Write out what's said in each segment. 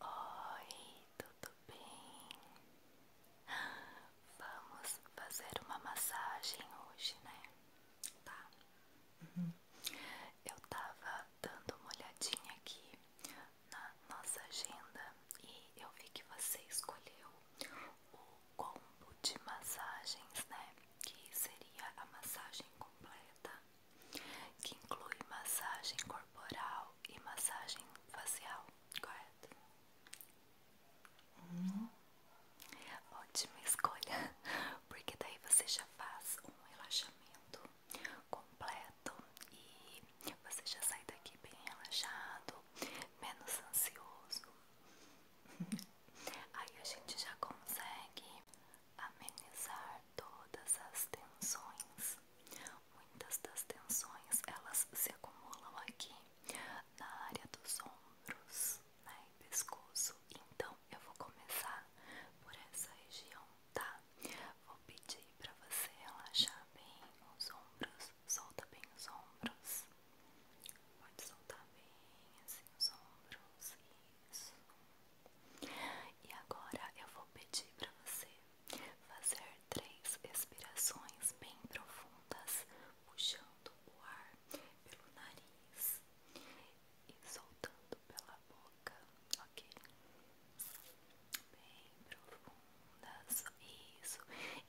Oi, tudo bem? Vamos fazer uma massagem hoje, né? Tá. Uhum. Eu tava dando uma olhadinha aqui na nossa agenda e eu vi que você escolheu o combo de massagens, né? Que seria a massagem completa que inclui massagem corporal e massagem facial, correto? Hum, ótima escolha, porque daí você já faz um relaxamento completo e você já sai daqui bem relaxado, menos ansioso. Aí a gente já consegue amenizar todas as tensões. Muitas das tensões elas se acumulam aqui na área dos ombros né, e pescoço. Então eu vou começar por essa região, tá? Vou pedir para você relaxar bem os ombros, solta bem os ombros. Pode soltar bem assim, os ombros. Isso. E agora eu vou pedir para você fazer três expirações bem profundas, puxando o ar pelo nariz e soltando pela boca, ok? Bem profundas, isso.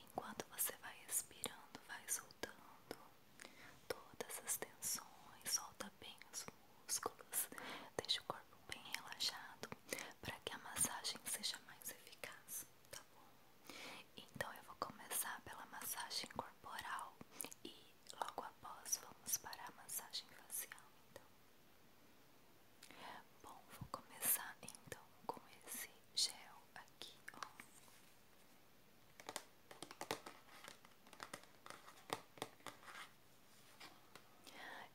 Enquanto você vai expirando, vai soltando todas as tensões, solta bem as músculos. Deixe o corpo bem relaxado para que a massagem seja mais eficaz, tá bom? Então eu vou começar pela massagem corporal e logo após vamos para a massagem facial, então. Bom, vou começar então com esse gel aqui, ó.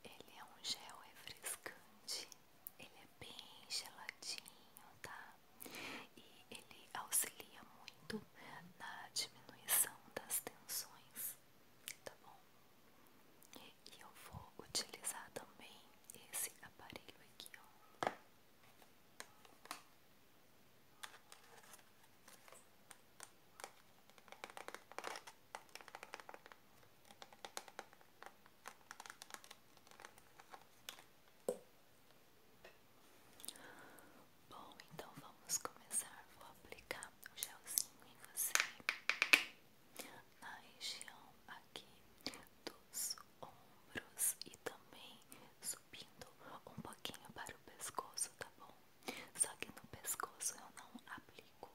Ele é um gel refrescante, ele é bem geladinho, tá? E ele auxilia muito na diminuição das tensões, tá bom? E eu vou utilizar também esse aparelho aqui, ó. Bom, então vamos começar. Vou aplicar o gelzinho em você na região aqui dos ombros e também subindo um pouquinho para o pescoço, tá bom? Só que no pescoço eu não aplico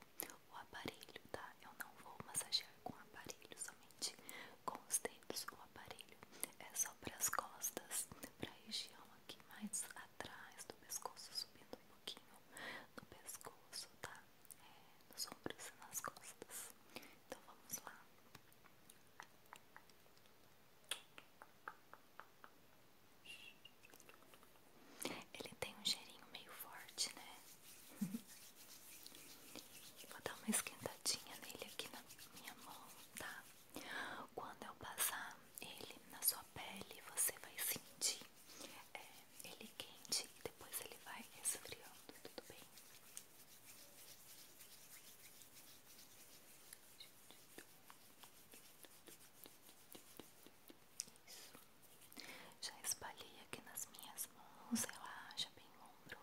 o aparelho, tá? Eu não vou massagear com o aparelho, somente com os dedos. O aparelho é só para as costas, para a região aqui mais atrás do pescoço, subindo um pouquinho no pescoço, tá? É, nos ombros e nas costas. Então vamos lá. Ele tem um cheirinho meio forte, né? Vou dar uma esquentadinha nele aqui na minha mão, tá? Quando eu passar ele na sua pele, você vai sentir é, ele quente e depois ele vai esfriando, tudo bem? Isso. Já espalhei aqui nas minhas mãos, relaxa bem o ombro.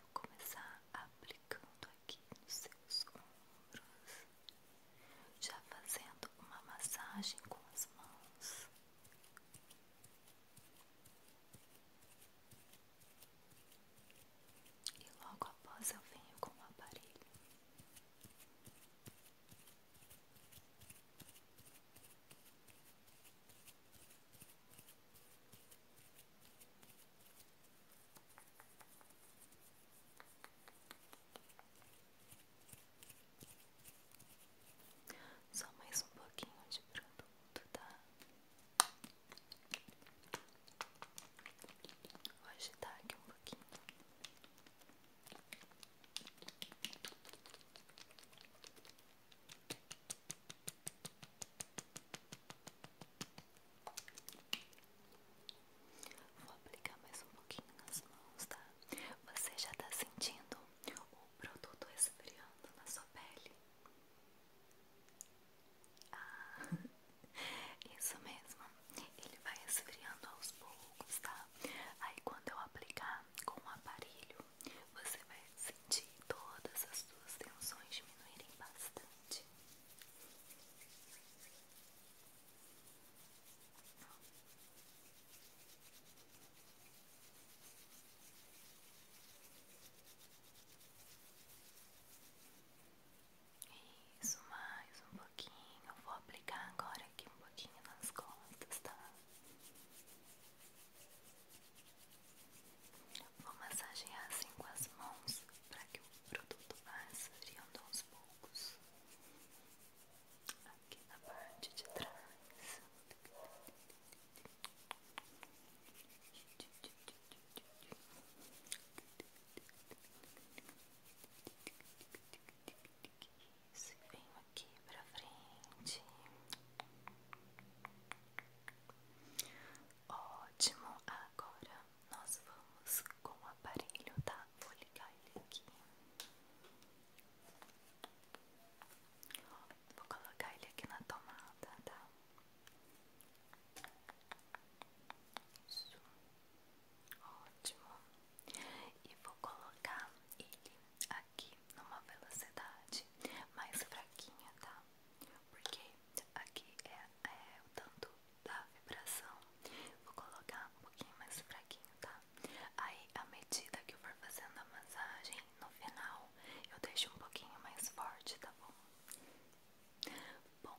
Vou começar aplicando aqui nos seus ombros. Já fazendo uma massagem com as mãos. E logo após eu venho com o aparelho. Só mais um pouquinho de produto, tá? Vou agitar aqui um pouquinho. Vou aplicar mais um pouquinho nas mãos, tá? Você já tá sentindo o produto esfriando na sua pele? Ah. Isso mesmo, ele vai esfriando aos poucos, tá? Aí quando eu aplicar com o aparelho, você vai sentir todas as suas tensões diminuírem bastante. Isso, mais um pouquinho. Eu vou aplicar agora aqui um pouquinho nas costas, tá? Vou massagear assim com as mãos para que o produto vá esfriando aos poucos. Aqui na parte de trás. Isso, venho aqui pra frente. Ótimo, agora nós vamos com o aparelho, tá? Vou ligar ele aqui. Vou colocar ele aqui na tomada, tá? Isso. Ótimo. E vou colocar ele aqui numa velocidade mais fraquinha, tá? Porque aqui é, é, o tanto da vibração. Vou colocar um pouquinho mais fraquinho, tá? Aí, à medida que eu for fazendo a massagem, no final eu deixo um pouquinho mais forte, tá bom? Bom,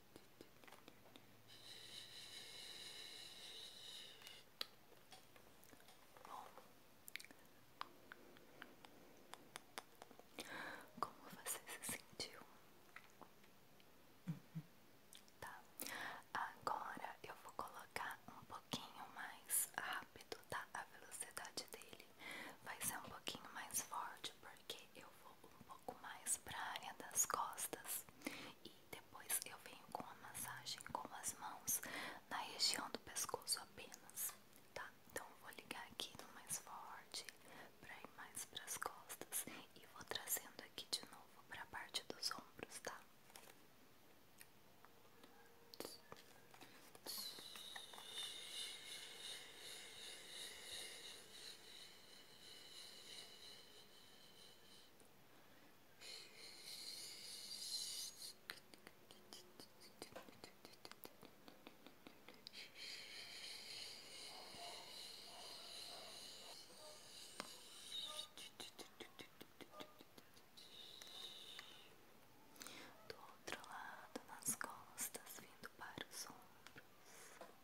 Bom, como você se sentiu? Tá, agora eu vou colocar um pouquinho mais rápido, tá? A velocidade dele vai ser um pouquinho mais forte porque eu vou um pouco um pouco mais para a área das costas e depois eu venho com a massagem com as mãos na região do pescoço apenas, tá? Então vou ligar aqui no mais forte para ir mais para as costas e vou trazendo aqui de novo para a parte dos ombros, tá? Do outro lado, nas costas, vindo para os ombros.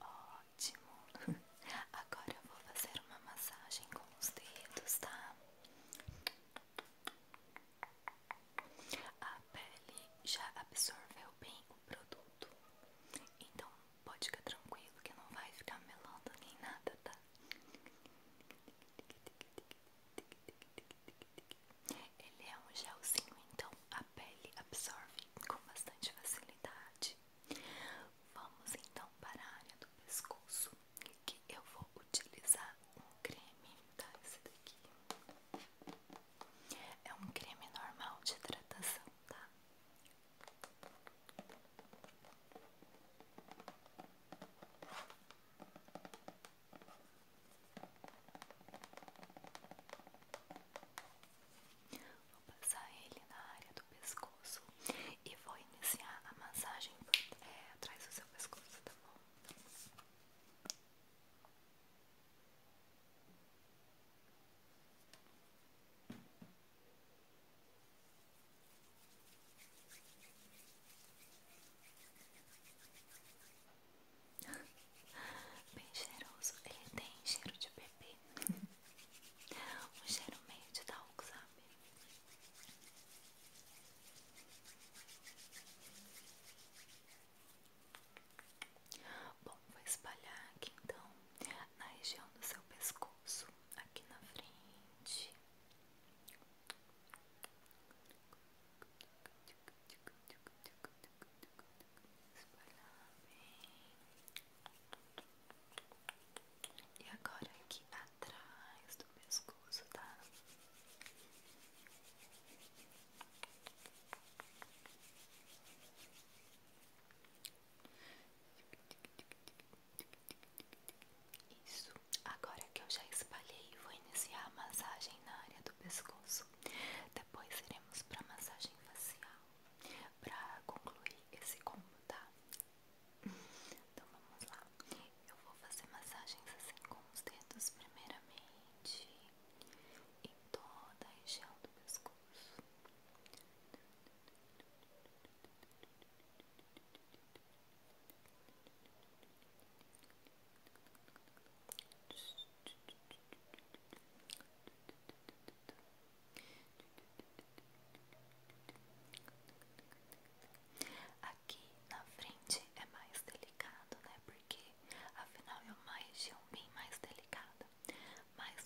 Ótimo. Agora eu vou fazer uma massagem com os dedos, tá? A pele já absorveu bem o produto. Então pode ficar tranquilo que não vai ficar melando nem nada, tá? Ele é um gelzinho, então a pele absorve com bastante facilidade. Vamos então para a área do pescoço, que eu vou utilizar um creme, tá? Esse daqui é um creme normal de hidratação, tá? Vou passar ele na área do pescoço e vou iniciar a massagem é, atrás do seu pescoço, tá bom? Bem cheiroso, ele tem cheiro de bebê Um cheiro meio de talco, sabe? Bom, vou espalhar aqui então Na região do seu pescoço Aqui na frente Espalhar bem. E agora aqui atrás do pescoço, tá? Isso, agora que eu já espalhei, vou iniciar a massagem na área do pescoço. Depois iremos para massagem facial para concluir esse combo, tá? Então vamos lá. Eu vou fazer massagens assim com os dedos primeiramente em toda a região do pescoço. Massagem Aqui na frente é mais delicado, né? Porque afinal é uma região bem mais delicada. Mas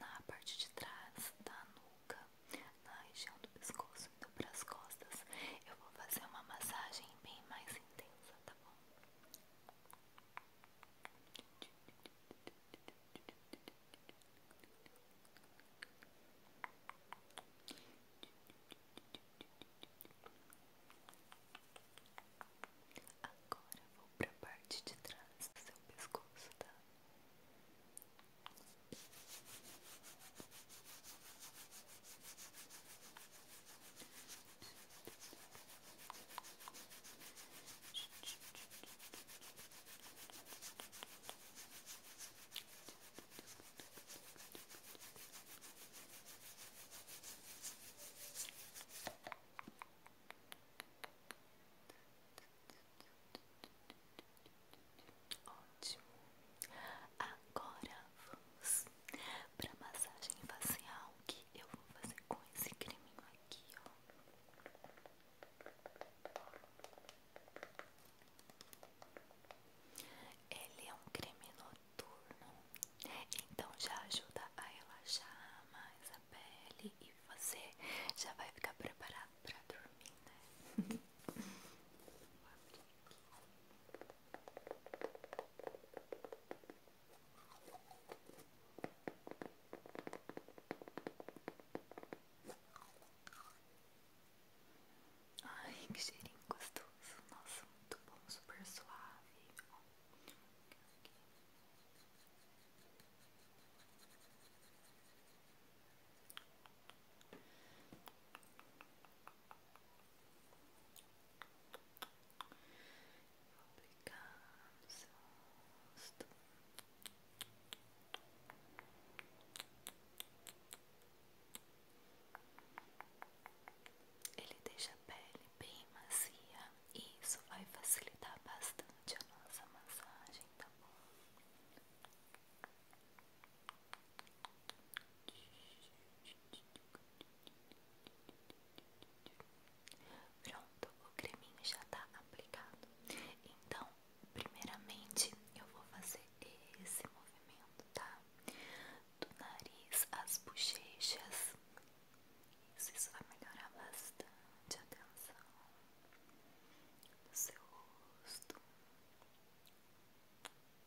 na parte de trás da nuca, na região do pescoço e para as costas, eu vou fazer uma massagem bem mais intensa, tá bom? Agora vou para a parte de trás do seu pescoço, tá? Ótimo. Agora vamos pra massagem facial que eu vou fazer com esse creminho aqui, ó. Ele é um creme noturno, então já ajuda a relaxar mais a pele e você já vai ficar preparado para dormir, né? Vou abrir aqui. Ai, que cheirinho gostoso. Nossa, muito bom, super suave. Vou aplicar no seu rosto. Ele deixa a pele bem macia e isso vai facilitar bastante a nossa massagem, tá bom? Pronto, o creminho já tá aplicado. Então, primeiramente, eu vou fazer esse movimento, tá? Do nariz às bochechas. Isso, vai melhorar bastante a tensão do seu rosto. Isso.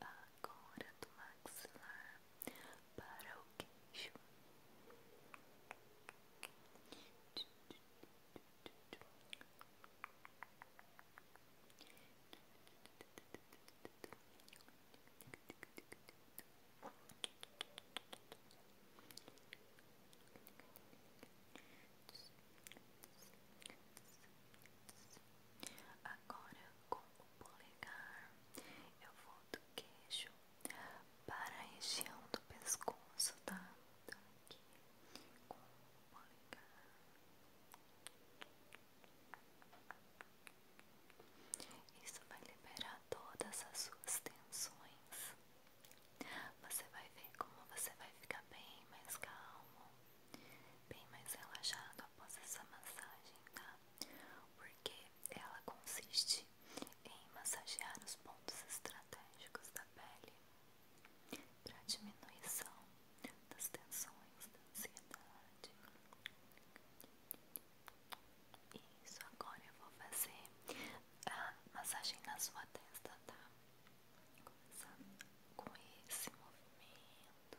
agora do maxilar para o queixo. Agora com o polegar, eu vou do queixo para a região do pescoço, tá? Então aqui com o polegar. Isso vai liberar todas as suas tensões. Você vai ver como você vai ficar bem mais calmo, bem mais relaxado após essa massagem, tá? porque ela consiste em massagear os pontos estratégicos da pele para diminuição das tensões, da ansiedade. Isso, agora eu vou fazer a massagem na sua testa, tá? Começando com esse movimento.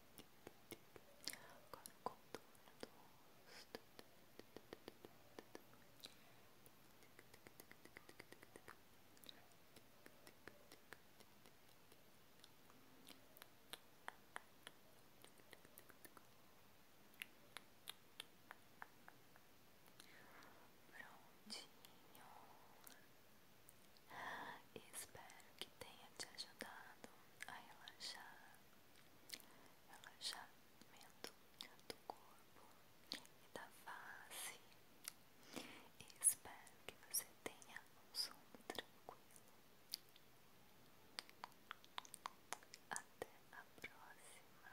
Agora o contorno do rosto. Prontinho. Espero que tenha te ajudado a relaxar, relaxamento do corpo e da face. Espero que você tenha um sono tranquilo. Até a próxima.